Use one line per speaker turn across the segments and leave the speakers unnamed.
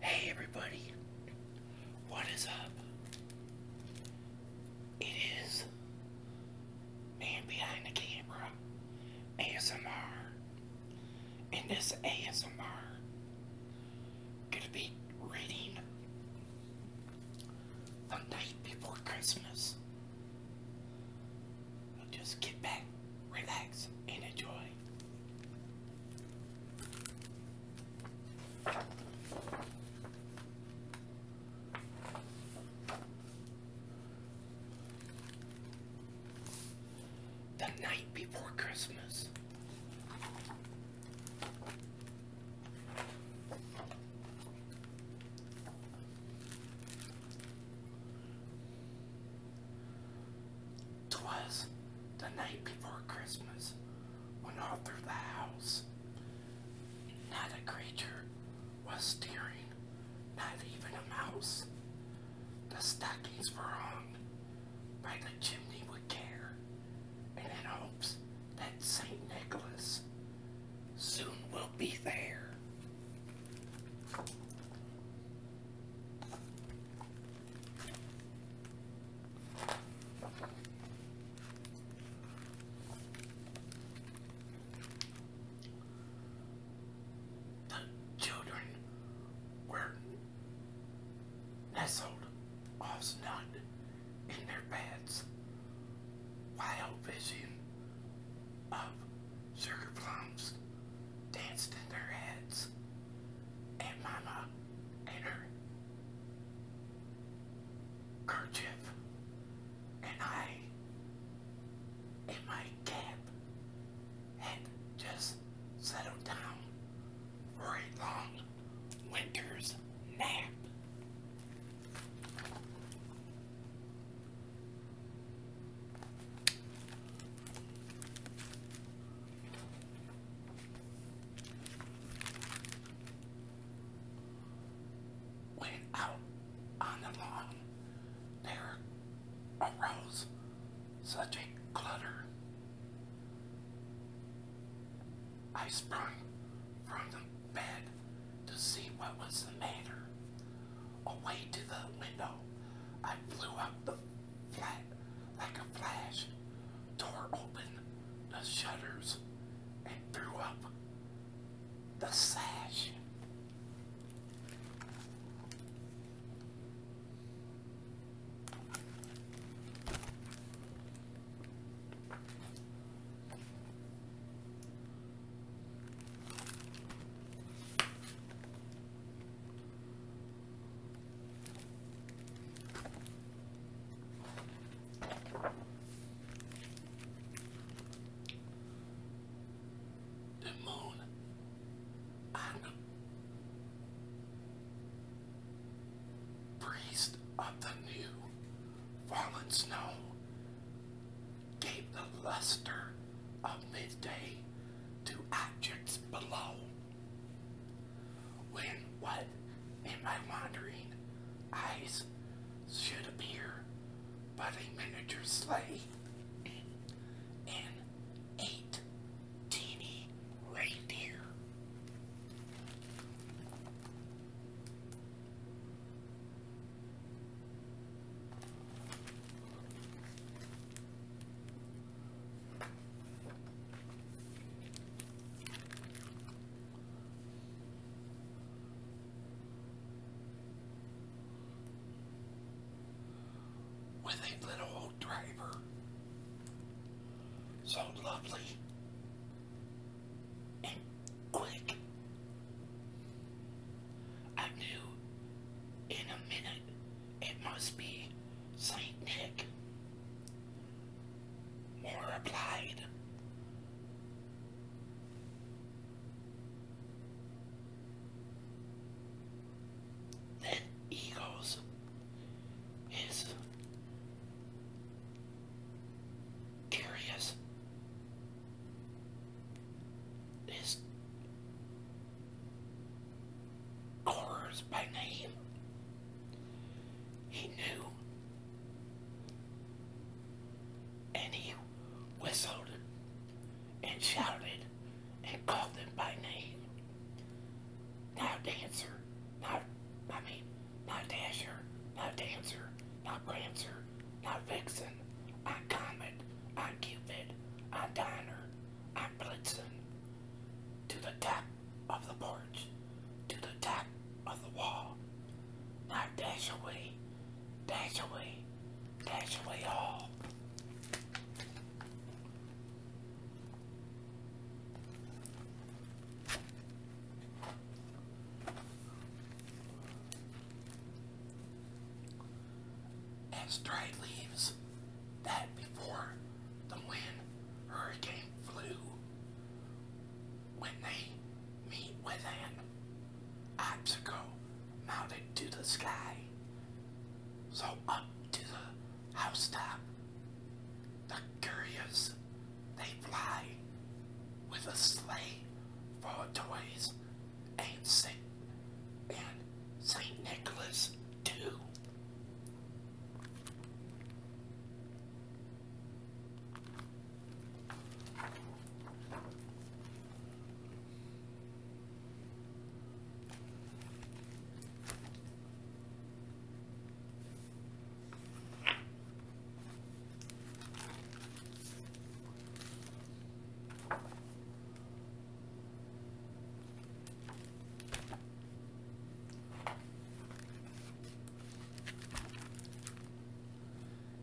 Hey everybody, what is up? It is Man Behind the Camera ASMR, and this ASMR gonna be reading The Night Before Christmas. Just get back, relax, and enjoy. The night before Christmas. Twas the night before Christmas when all through the house not a creature was stirring, not even a mouse. The stockings were hung by the chimney with care, and in hopes that St. Nicholas soon will be there. The children were nestled all snug in their beds while fishing of sugar plums danced in their heads. And Mama and her kerchief. And I, in my cap, had just settled down for a long winter's nap. When out on the lawn, there arose such a clutter. I sprung from the bed to see what was the matter. Away to the window, I blew up the flat, like a flash, tore open the shutters and threw up the sash. The moon and priest of the new fallen snow gave the luster of midday to objects below. When what in my wandering eyes should appear but a miniature sleigh and eight teeny reindeer with a little old driver. So lovely and quick. I knew in a minute it must be Saint Nick. Moore replied. Then he goes, his curious, his Cores by name. He knew. And he whistled and shouted and called them by name. Now dancer, not, I mean, not dasher, not dancer, not prancer, not vixen, not comet, not cupid, not diner, and Blitzen to the top of the porch, to the top of the wall. Now dash away, dash away, dash away all as dried leaves that before the wind hurricane flew when they meet with an obstacle mounted to the sky. So up to the housetop, the curious, they fly with a sleigh for toys and sick and St. Nicholas too.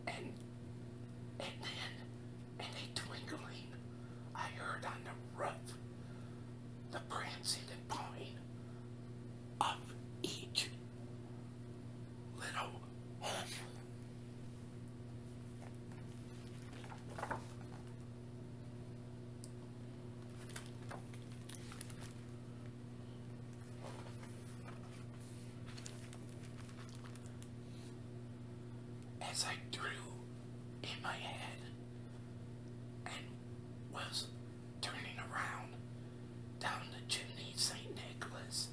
And and then in a twinkling I heard on the roof the prancing and pawing of each little home. As I drew in my head and was turning around down the chimney, St. Nicholas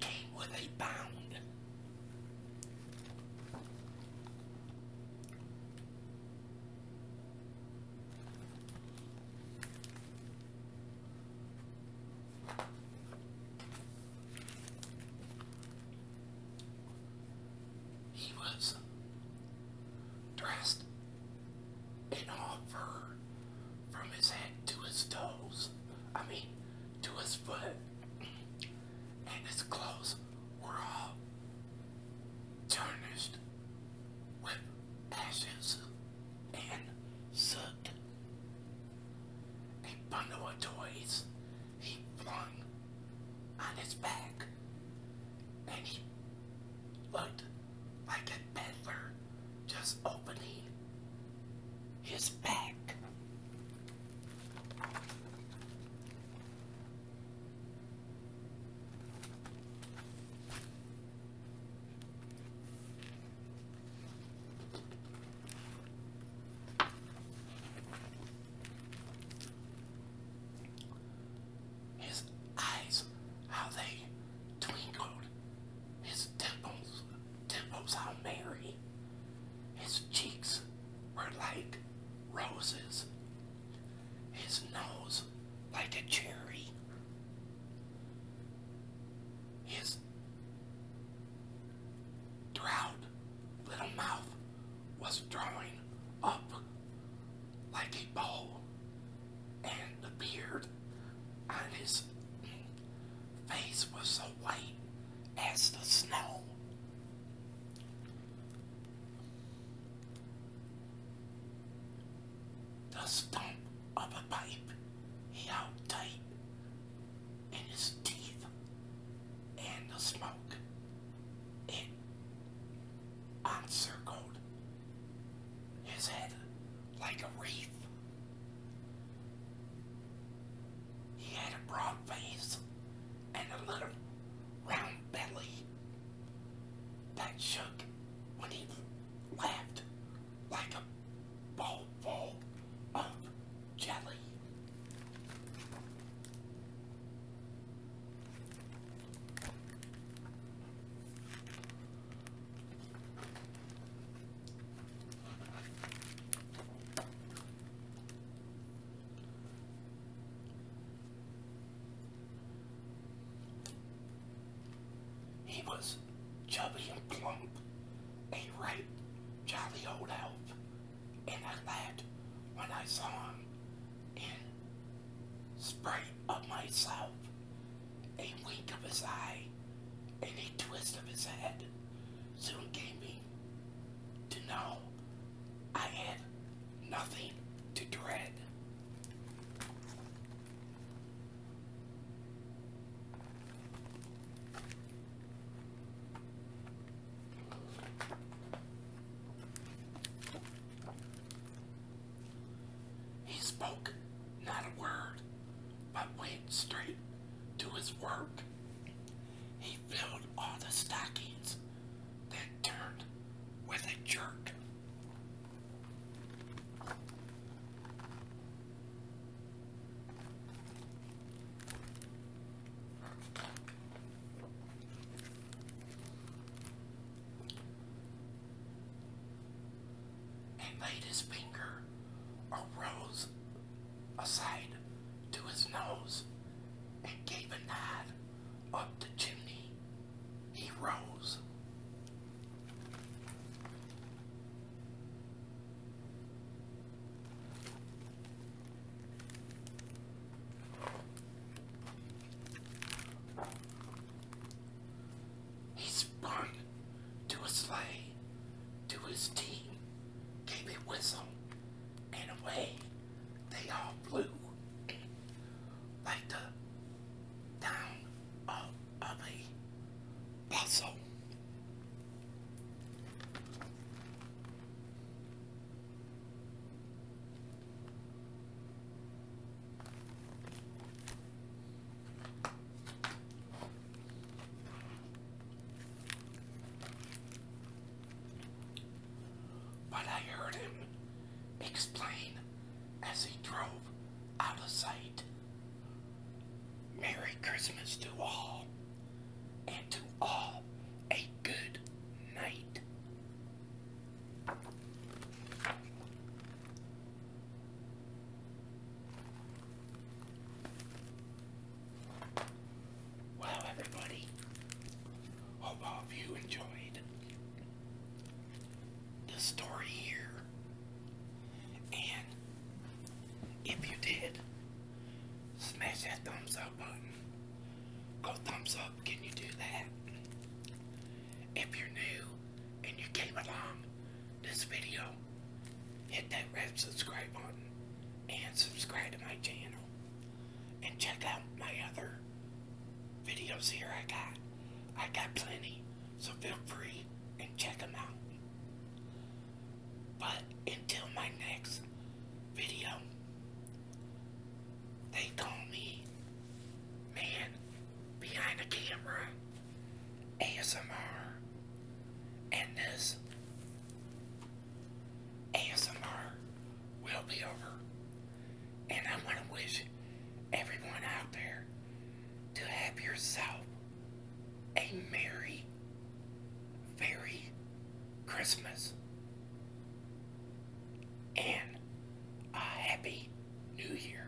came with a bound. He was dressed in all fur from his head to his toes. I mean, to his foot and his clothes were all tarnished with ashes and soaked. A bundle of toys he flung on his back, and he looked like a peddler just opening his back. His eyes, how they twinkled. His dimples, dimples how merry. His cheeks were like roses, his nose like a cherry, his Drought little mouth was drawing up like a bow, and the beard on his face was as white as the snow. The stump of a pipe he held tight in his teeth and the smoke it encircled his head like a wreath. He had a broad face and a little round belly that shook when he laughed like a ball full of jelly. He was chubby and plump, a right jolly old elf, and I laughed when I saw him in spite of myself, a wink of his eye, and a twist of his head soon gave me to know I had nothing to dread. He spoke not a word, but went straight to his work he filled all the stockings that turned with a jerk. And made his finger or rose aside to his nose and gave a nod up the chimney. He rose. He sprung to a sleigh, to his team, gave a whistle, and away they all flew like the down of, a puzzle. But I heard him explain as he drove out of sight. Merry Christmas to all, and to all a good night. Well, everybody, hope all of you enjoyed the story here. And if you did, smash that thumbs up button. Go thumbs up, can you do that? If you're new and you came along this video, hit that red subscribe button and subscribe to my channel. And check out my other videos here I got. I got plenty, so feel free and check them out. But until my next video, they call me Man Behind the Camera ASMR. And this ASMR will be over. And I want to wish everyone out there to have yourself a merry, very Christmas and a happy new year.